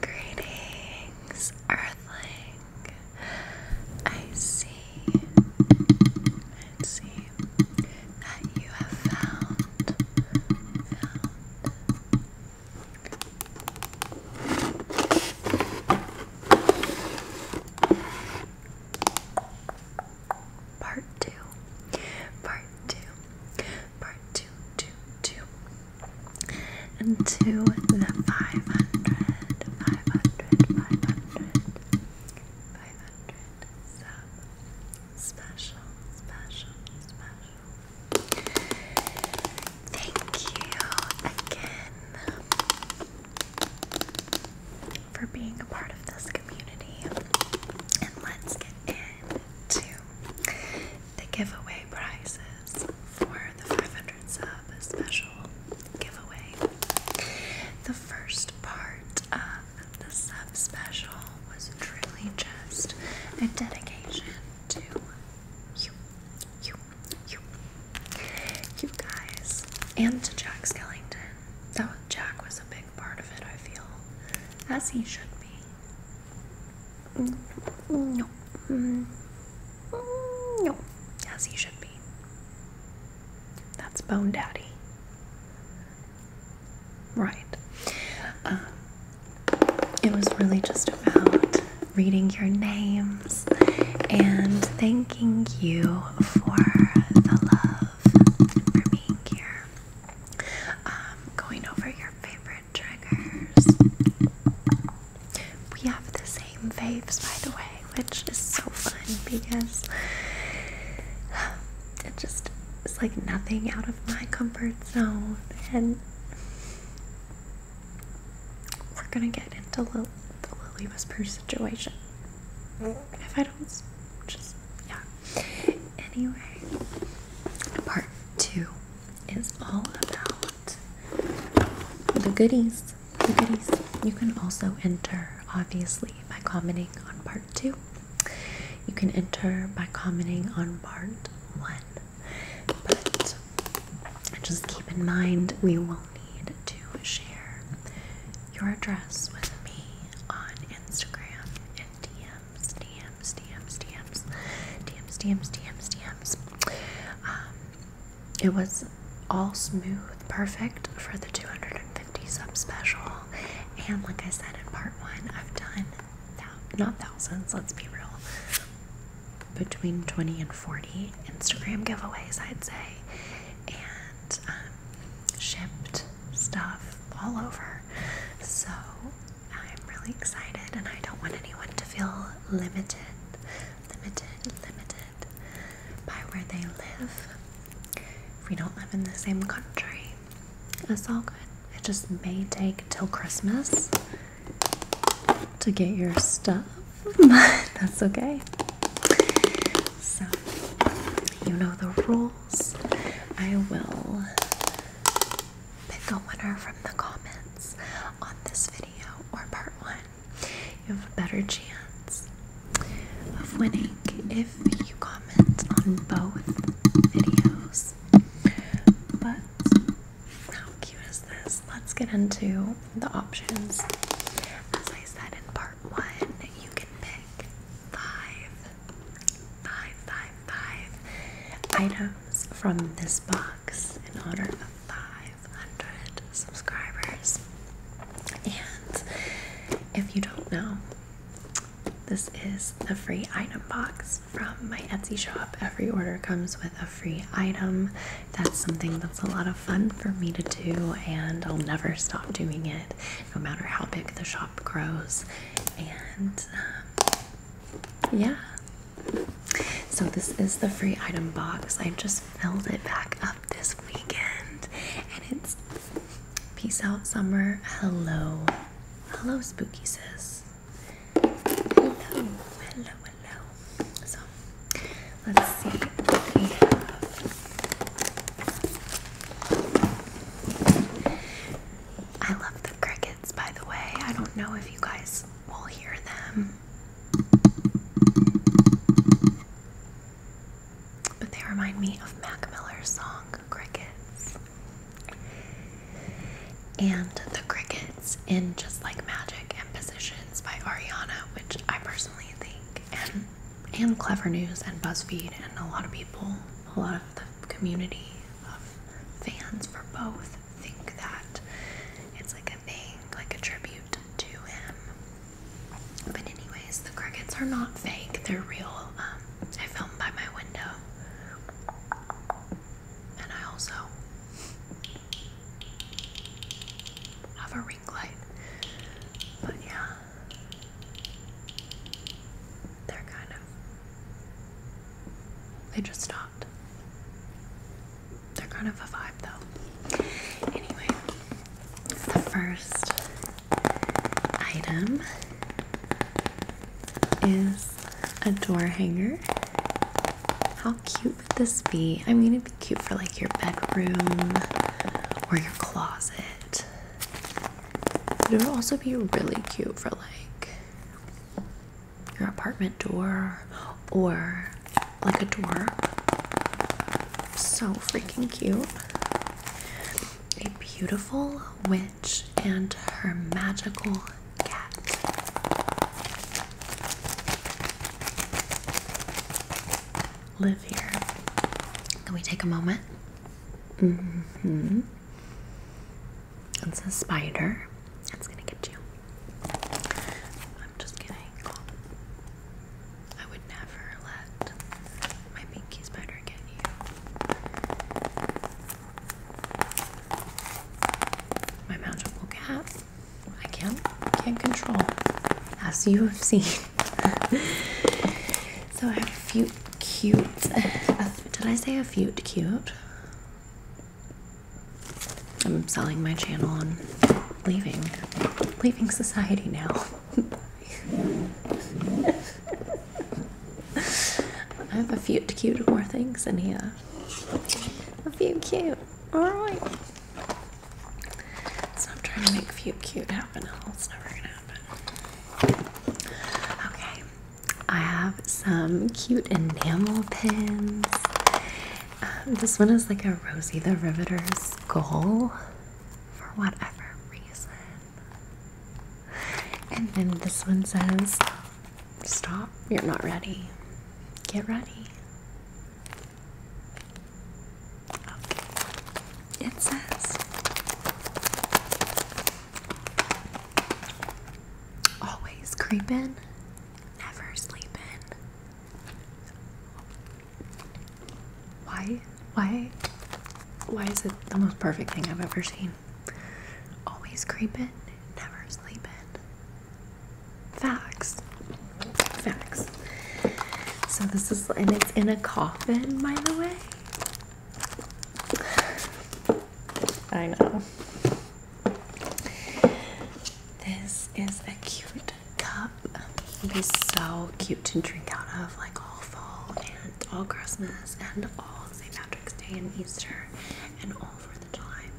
Greetings, Earthling. I see, that you have found part two, part two, part two, two, two, and two. the 500, 500, special, special, special. Thank you again for being a part of this community. And let's get into the giveaway prizes for the 500 sub special giveaway. The first part of the sub special was truly just a dedication to you, you, you, you guys, and to Jack Skellington. That Jack was a big part of it, I feel, as he should be. No. No. As he should be. That's Bone Daddy. Right. Um, it was really just about reading your names and thanking you for the love for being here. Um, going over your favorite triggers. We have the same faves, by the way, which is so fun because um, it just its like nothing out of my comfort zone. And we're gonna get into Lil the Lily Whisper situation. If I don't just, yeah, Anyway, part two is all about the goodies. The goodies. You can also enter, obviously, by commenting on part two. You can enter by commenting on part one. But just keep in mind we will need to share your address with me on Instagram and DMs, DMs, DMs, DMs, DMs, DMs, DMs, DMs. Um, it was all smooth, perfect for the 250 sub special. And like I said in part one, I've done not thousands, let's be real, between 20 and 40 Instagram giveaways, I'd say. And um, shipped stuff all over. So I'm really excited and I don't want anyone to feel limited, limited, limited by where they live. If we don't live in the same country, That's all good. It just may take till Christmas to get your stuff, but that's okay. So, you know the rules. I will pick a winner from the comments on this video or part one. You have a better chance of winning if you comment on both videos. But how cute is this? Let's get into the options. As I said in part one, you can pick five, five, five, five items from this box in honor of 500 subscribers. And if you don't know, this is the free item box from my Etsy shop. Every order comes with a free item. That's something that's a lot of fun for me to do, and I'll never stop doing it no matter how big the shop grows. And um, yeah. So, this is the free item box. I just filled it back up this weekend. And it's peace out, summer. Hello. Hello, spooky sis. Hello, hello, hello. So, let's see what we have. I love the crickets, by the way. I don't know if you guys will hear them, but they remind me of Mac Miller's song Crickets. And the crickets in Just Like Magic and Positions by Ariana, which I personally think and Clever News and BuzzFeed and a lot of people, a lot of the community of fans for both think that it's like a thing, like a tribute to him. But anyways, the crickets are not fake, they're real. Um, I filmed by my window. And I also have a light. But yeah, they're kind of. They just stopped. They're kind of a vibe though. Anyway, the first item is a door hanger. How cute would this be? I'm going to cute for like your bedroom or your closet. it would also be really cute for like your apartment door or like a door. So freaking cute. A beautiful witch and her magical cat live here. Can we take a moment? Mm-hmm. It's a spider. It's gonna get you. I'm just kidding. I would never let my pinky spider get you. My magical cat. I can't can't control. As you have seen, so I have a few cute. Uh, did I say a few cute? I'm selling my channel and leaving, leaving society now. I have a few cute more things in here. A few cute. All right. So I'm trying to make few cute happen. It's never gonna happen. Okay, I have some cute enamel pins. Um, this one is like a Rosie the Riveter skull for whatever reason. And then this one says, Stop, you're not ready. Get ready. It says always creeping, never sleeping. Why? Why? Why is it the most perfect thing I've ever seen? Always creeping, never sleeping. Facts. Facts. So this is, and it's in a coffin, by the way. I know. This is a cute cup. It'd be so cute to drink out of, like all fall and all Christmas and all St. Patrick's Day and Easter and all for the time.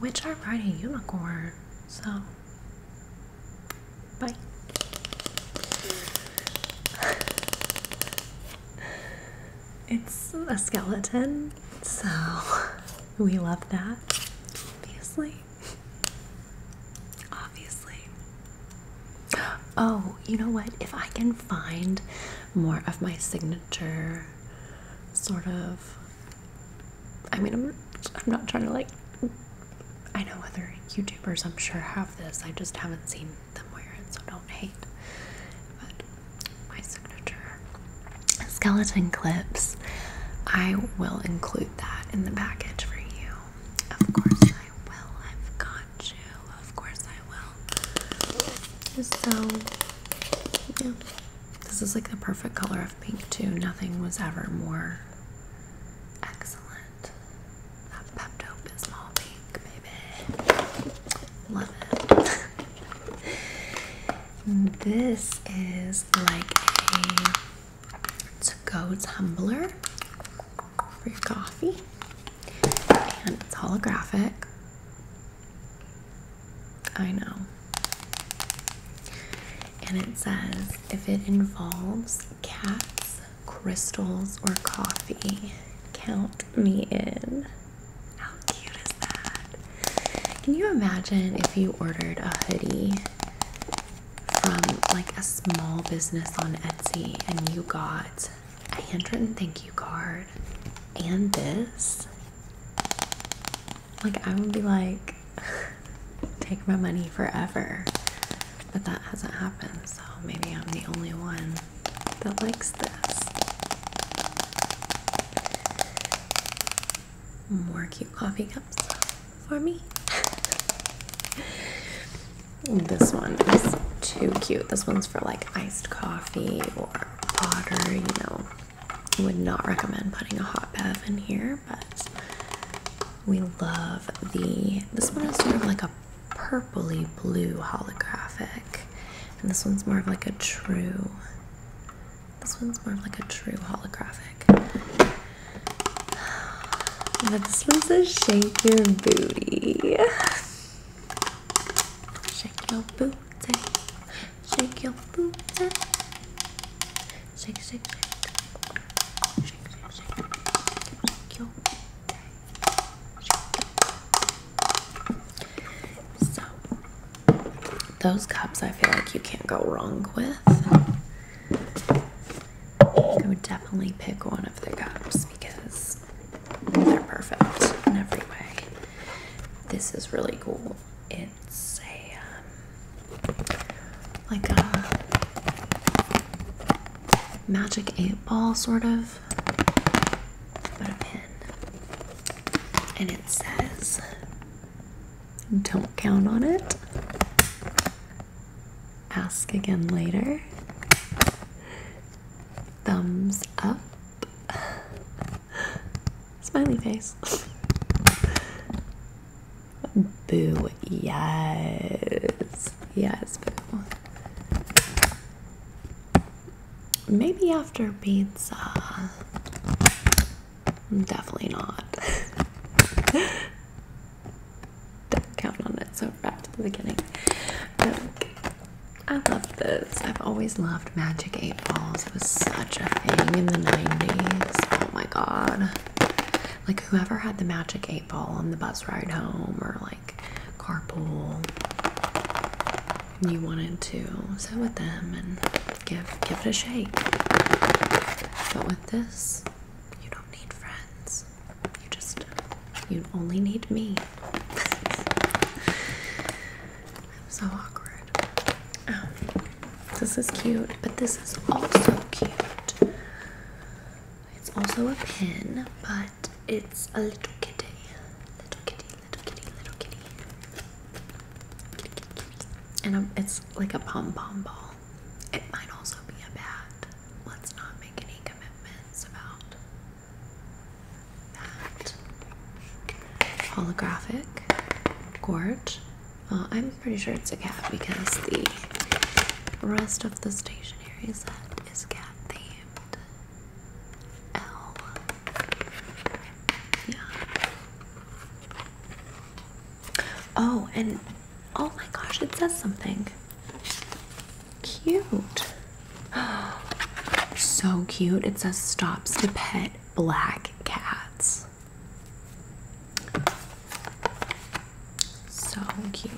Which are riding unicorn, so bye. it's a skeleton, so we love that, obviously. Obviously. Oh, you know what? If I can find more of my signature sort of. I mean, I'm, I'm not trying to like. I know other YouTubers, I'm sure, have this. I just haven't seen them wear it, so don't hate. But my signature skeleton clips, I will include that in the package for you. Of course, I will. I've got you. Of course I will. So, yeah. This is like the perfect color of pink, too. Nothing was ever more excellent. That Pepto Bismol pink, baby. Love it. this is like a to go tumbler. Free coffee. And it's holographic. I know. And it says if it involves cats, crystals, or coffee, count me in. How cute is that? Can you imagine if you ordered a hoodie from like a small business on Etsy and you got a handwritten thank you card and this. Like, I would be like, take my money forever. But that hasn't happened, so maybe I'm the only one that likes this. More cute coffee cups for me. This one is too cute. This one's for like iced coffee or water, you know. I would not recommend putting a hot bath in here, but we love the this one is sort of like a purpley blue holographic. And this one's more of like a true this one's more of like a true holographic. this one says shake your booty. Shake your booty, shake your booty, shake, shake, shake, shake, shake, shake, your booty. So, those cups I feel like you can't go wrong with. I would definitely pick one of the cups because they're perfect in every way. This is really cool. It's a um, like a magic eight ball sort of, but a pin, and it says, "Don't count on it." Ask again later thumbs up, smiley face. Boo, yes, yes, boo. Maybe after pizza. Definitely not. don't count on it. So back to the beginning. Like, I love this. I've always loved Magic Eight Balls. It was such a thing in the '90s. Oh my god! Like whoever had the Magic Eight Ball on the bus ride home or like carpool, you wanted to sit with them and give give it a shake. But with this, you don't need friends. You just, you only need me. so awkward. Um, this is cute, but this is also cute. It's also a pin, but it's a little kitty. Little kitty, little kitty, little kitty. kitty, kitty, kitty. And um, it's like a pom pom ball. It might also be a bat let's not make any commitments about that. Holographic Gorge. Uh, I'm pretty sure it's a cat because the rest of the stationery set is cat themed. L. Oh, and oh my gosh, it says something cute. So cute. It says stops to pet black cats. So cute.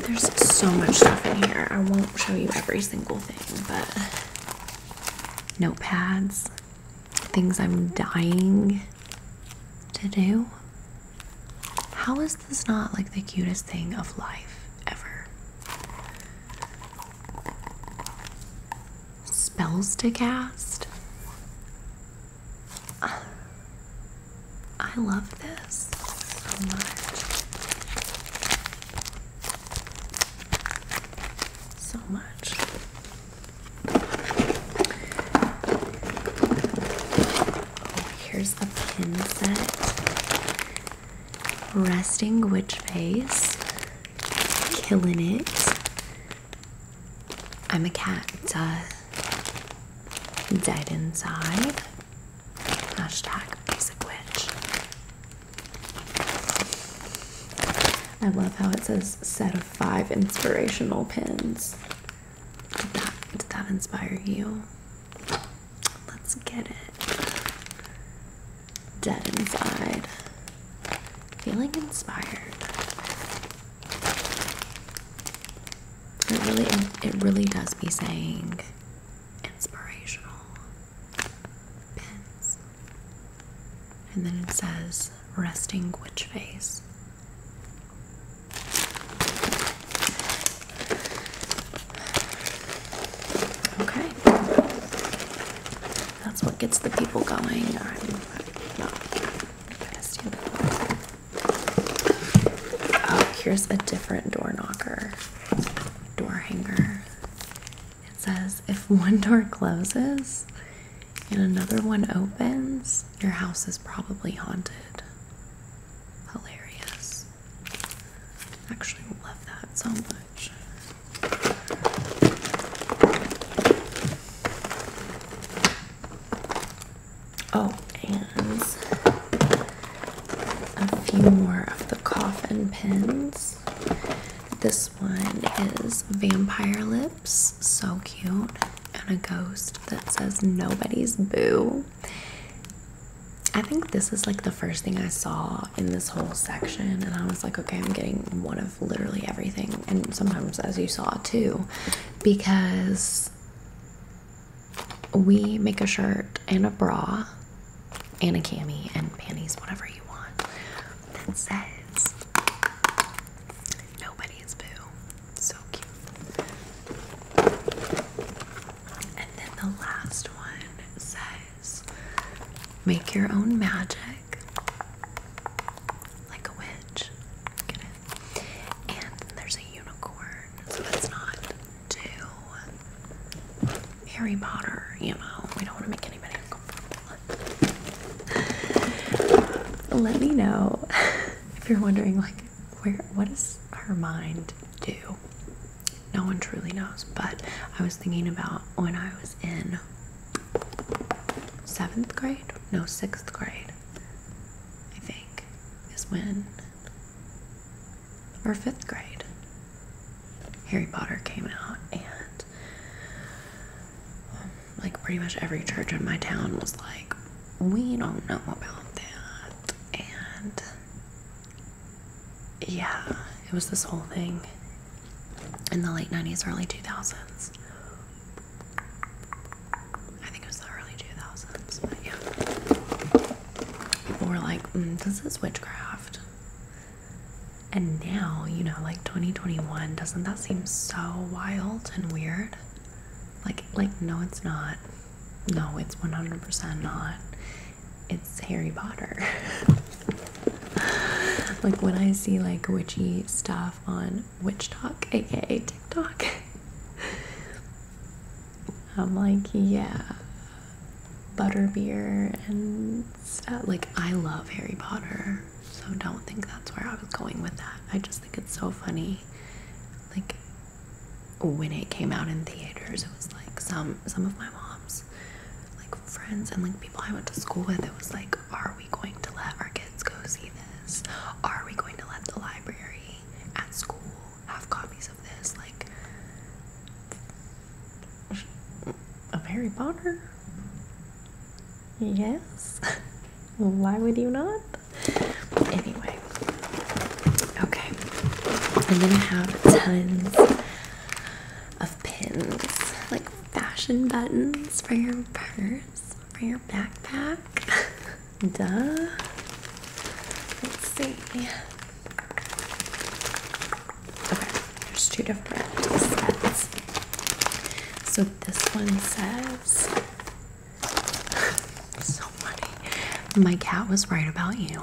There's so much stuff in here. I won't show you every single thing, but notepads, things I'm dying to do. How is this not like the cutest thing of life ever? Spells to cast. I love this so much so much. here's a pin set. Resting Witch Face. Killing it. I'm a cat. Dead inside. Hashtag basic witch. I love how it says set of five inspirational pins. Did that, inspire you? Let's get it. Dead inside. Feeling inspired. It really, it really does be saying inspirational pins. And then it says resting witch face. Okay. That's what gets the people going. Oh, here's a different door knocker. Door hanger. It says if one door closes and another one opens, your house is probably haunted. Hilarious. actually love that so much. Oh, and a few more of the coffin pins. This one is Vampire Lips, so cute, and a ghost that says nobody's boo. I think this is like the first thing I saw in this whole section, and I was like, okay, I'm getting one of literally everything, and sometimes as you saw too, because we make a shirt and a bra and a cami and panties, whatever you want, that says nobody's boo. So cute. And then the last one says make your own magic like a witch. And there's a unicorn, so that's not to Harry Potter, you know, we don't want to make anybody uncomfortable. Let me know if you're wondering, like, where, what does her mind do? No one truly knows, but I was thinking about when I was in seventh grade, no, sixth grade, I think, is when or fifth grade, Harry Potter came out, and um, like pretty much every church in my town was like, We don't know about that. And yeah, it was this whole thing in the late 90s, early 2000s. I think it was the early 2000s, but yeah. People were like, hmm, This is witchcraft. And now, you know, like 2021, doesn't that seem so wild and weird? Like like no, it's not. No, it's 100% not. It's Harry Potter. like when I see like witchy stuff on Witch Talk, aka TikTok, I'm like, yeah, butterbeer and stuff. Like, I love Harry Potter, so don't think that's where I was going with that. I just think it's so funny. Like, when it came out in theaters, it was like some some of my mom's like friends and like people I went to school with. It was like, are we going to let our kids go see this? Are we going to let the library at school have copies of this, like of Harry Potter? Yes. Why would you not? Anyway, okay. I'm gonna have tons of pins, like fashion buttons for your purse, for your backpack. Duh. Let's see. Okay, there's two different sets. So this one says, so funny, my cat was right about you.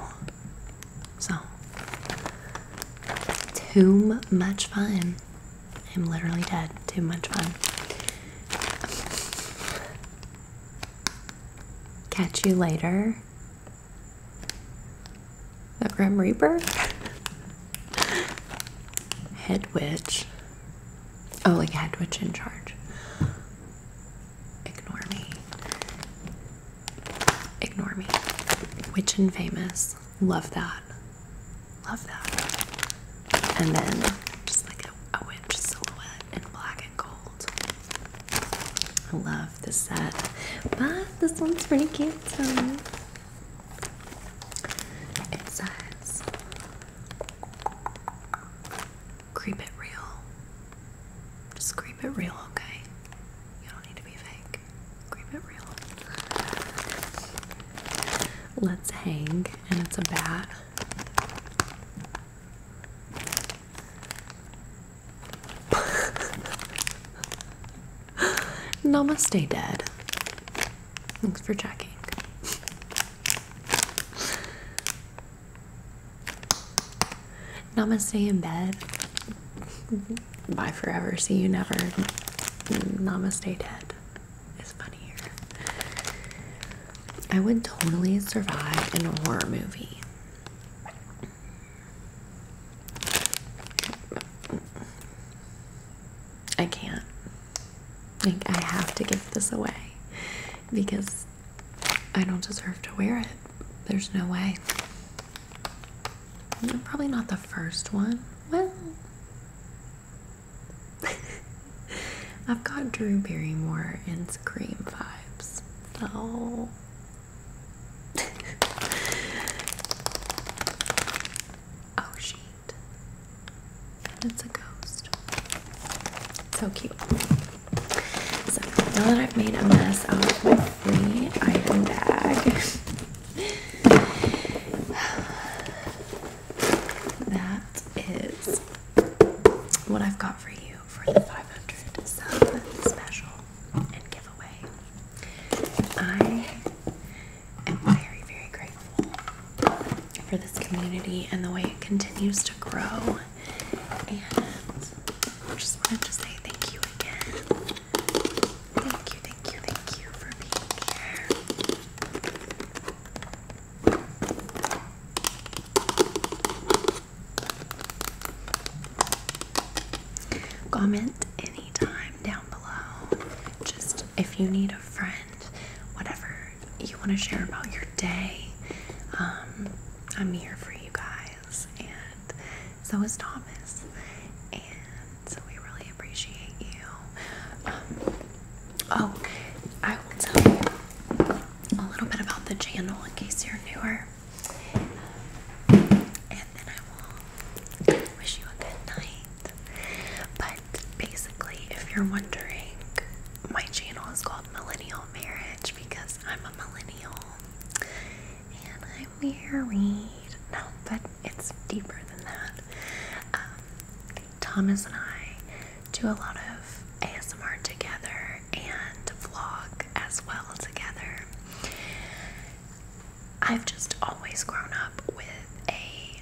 So, too much fun. I'm literally dead. Too much fun. Catch you later. The Grim Reaper? Head Witch. Oh, like Head Witch in charge. Ignore me. Ignore me. Witch and Famous. Love that. Love that. And then just like a, witch silhouette in black and gold. I love of the set. But this one's pretty cute too. It says Creep it real. Just creep it real, okay? You don't need to be fake. Creep it real. Let's hang, and it's a bat. Namaste, dead. Thanks for checking. Namaste in bed. Bye forever. See you never. Namaste, Dad. It's funny here. I would totally survive in a horror movie. I can't. Like, I have to give this away because I don't deserve to wear it. There's no way. I'm probably not the first one. Well, I've got Drew Barrymore and Scream vibes. So oh shit. It's a ghost. So cute. So now that I've made a mess out of my free item bag. that is what I've got for you for the 500 sub special and giveaway. I am very, very grateful for this community and the way it continues to grow. And I just wanted to say thank you again. Thank you, thank you, thank you for being here. Comment anytime down below. Just if you need a friend, whatever you want to share about your day, um, I'm here for you guys, and so is Thomas. And so we really appreciate you. Um, oh, I will tell you a little bit about the channel in case you're newer. Um, and then I will wish you a good night. But basically, if you're wondering, my channel is called Millennial Marriage because I'm a millennial and I'm married. No, but it's deeper than that. Um, Thomas and I do a lot of ASMR together and vlog as well together. I've just always grown up with a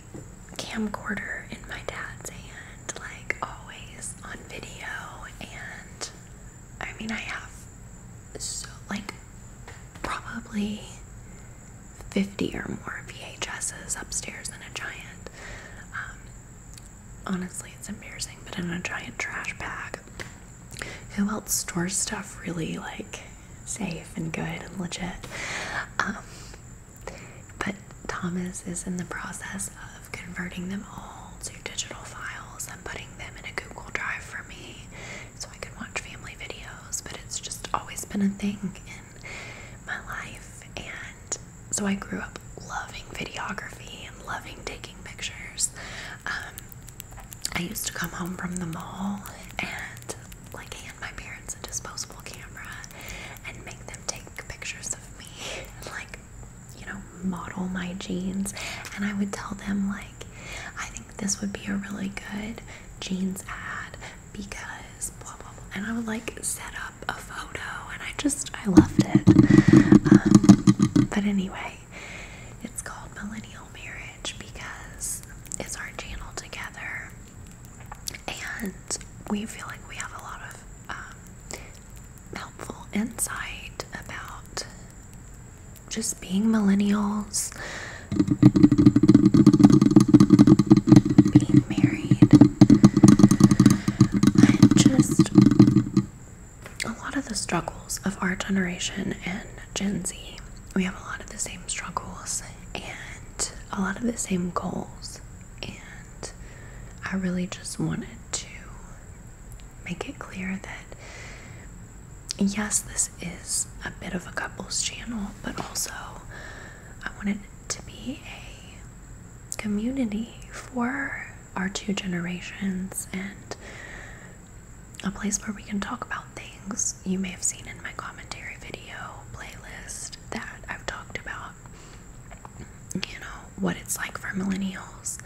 camcorder in my dad's hand, like always on video. And I mean, I have so, like, probably 50 or more VHSs upstairs in a giant um, honestly, it's embarrassing, but in a giant trash bag. Who else stores stuff really like safe and good and legit? Um, but Thomas is in the process of converting them all to digital files and putting them in a Google Drive for me so I could watch family videos. But it's just always been a thing in my life, and so I grew up loving videography and loving taking pictures. Um, I used to come home from the mall and like hand my parents a disposable camera and make them take pictures of me and like, you know, model my jeans. And I would tell them like, I think this would be a really good jeans ad because blah blah blah. And I would like set up a photo no, and I just I loved it. Um, but anyway, it's called Millennial Marriage because it's our channel together, and we feel like we have a lot of um, helpful insight about just being millennials, being married, just a lot of the struggles of our generation and Gen Z. We have a lot of the same struggles and a lot of the same goals, and I really just wanted to make it clear that yes, this is a bit of a couples channel, but also I wanted to be a community for our two generations and a place where we can talk about things you may have seen in my commentary video playlist that I've talked about, you know, what it's like for millennials,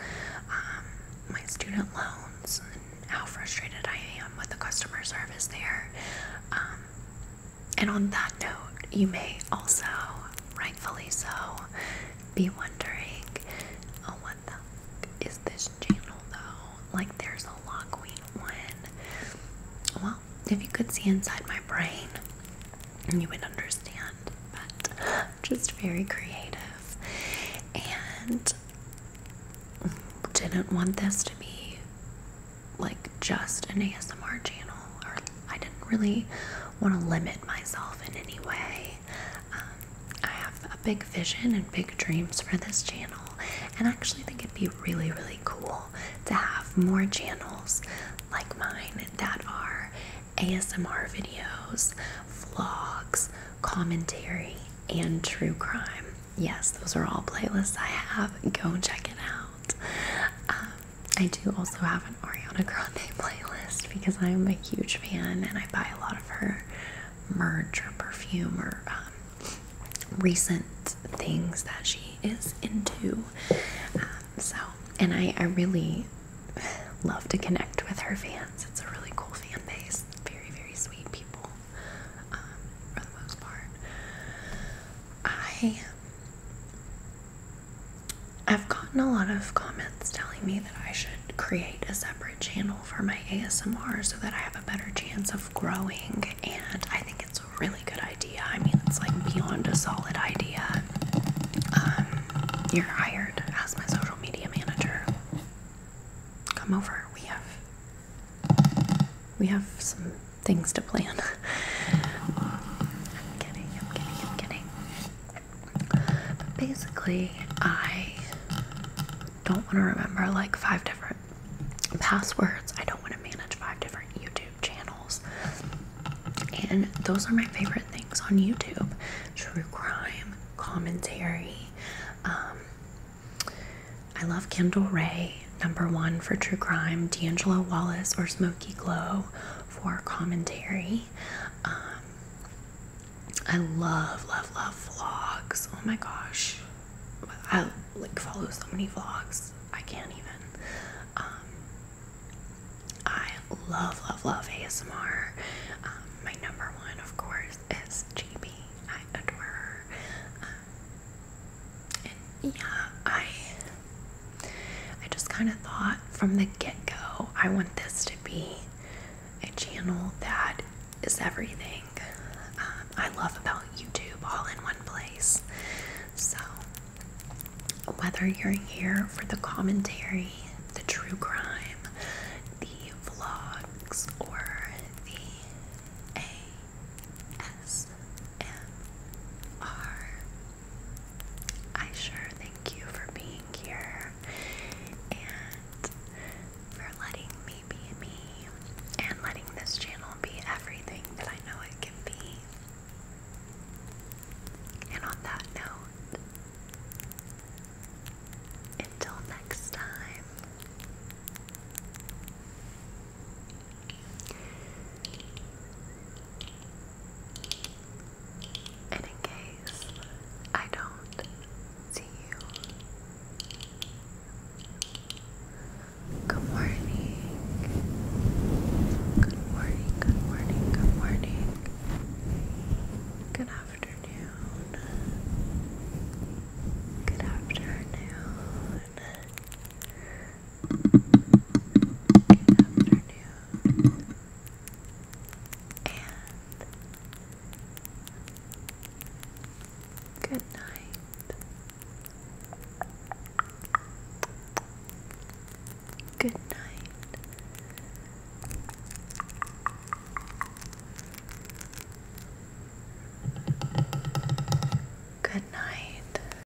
um, my student loans, and how frustrated I am with the customer service there. Um, and on that note, you may also rightfully so, be wondering, oh, what the heck is this channel though? Like, there's a Law Queen one. Well, if you could see inside my brain, you would understand, but just very creative. And didn't want this to be like just an ASMR channel or I didn't really want to limit myself in any way. Um, I have a big vision and big dreams for this channel, and I actually think it'd be really, really cool to have more channels like mine that are ASMR videos, vlogs, commentary, and true crime. Yes, those are all playlists I have. Go and check it out. Um, I do also have an Ariana Grande playlist because I'm a huge fan and I buy a lot of her merch or perfume or um, recent things that she is into. Um, so, and I, I really love to connect with her fans. It's a really cool fan base. Very, very sweet people um, for the most part. I I've gotten a lot of comments telling me that I should create a separate channel for my ASMR so that I have a better chance of growing, and I think it's a really good idea. I mean, it's like beyond a solid idea. Um, you're hired as my social media manager. Come over. We have we have some things to plan. I'm kidding, I'm kidding, I'm kidding. basically, I don't want to remember like five different passwords. I don't want to manage five different YouTube channels. And those are my favorite things on YouTube true crime, commentary. Um, I love Kendall Ray, number one for true crime, D'Angelo Wallace or Smokey Glow, for commentary. Um, I love, love, love vlogs. Oh my gosh, I like follow so many vlogs. I can't even. Um, I love, love, love ASMR. Um, my number one, of course, is GB. I adore her. yeah, I I just kind of thought from the get go, I want this to be a channel that is everything um, I love about YouTube all in one place. So, whether you're here for the commentary, the true crime, the vlogs, or the ASMR I sure thank you for being here and for letting me be me and letting this channel be everything that I know it can be. And on that note, until next time, and in case I don't see you, good morning. Good morning, good morning, good morning. Good afternoon. Good afternoon. Good afternoon. And good night. Good night. Good night.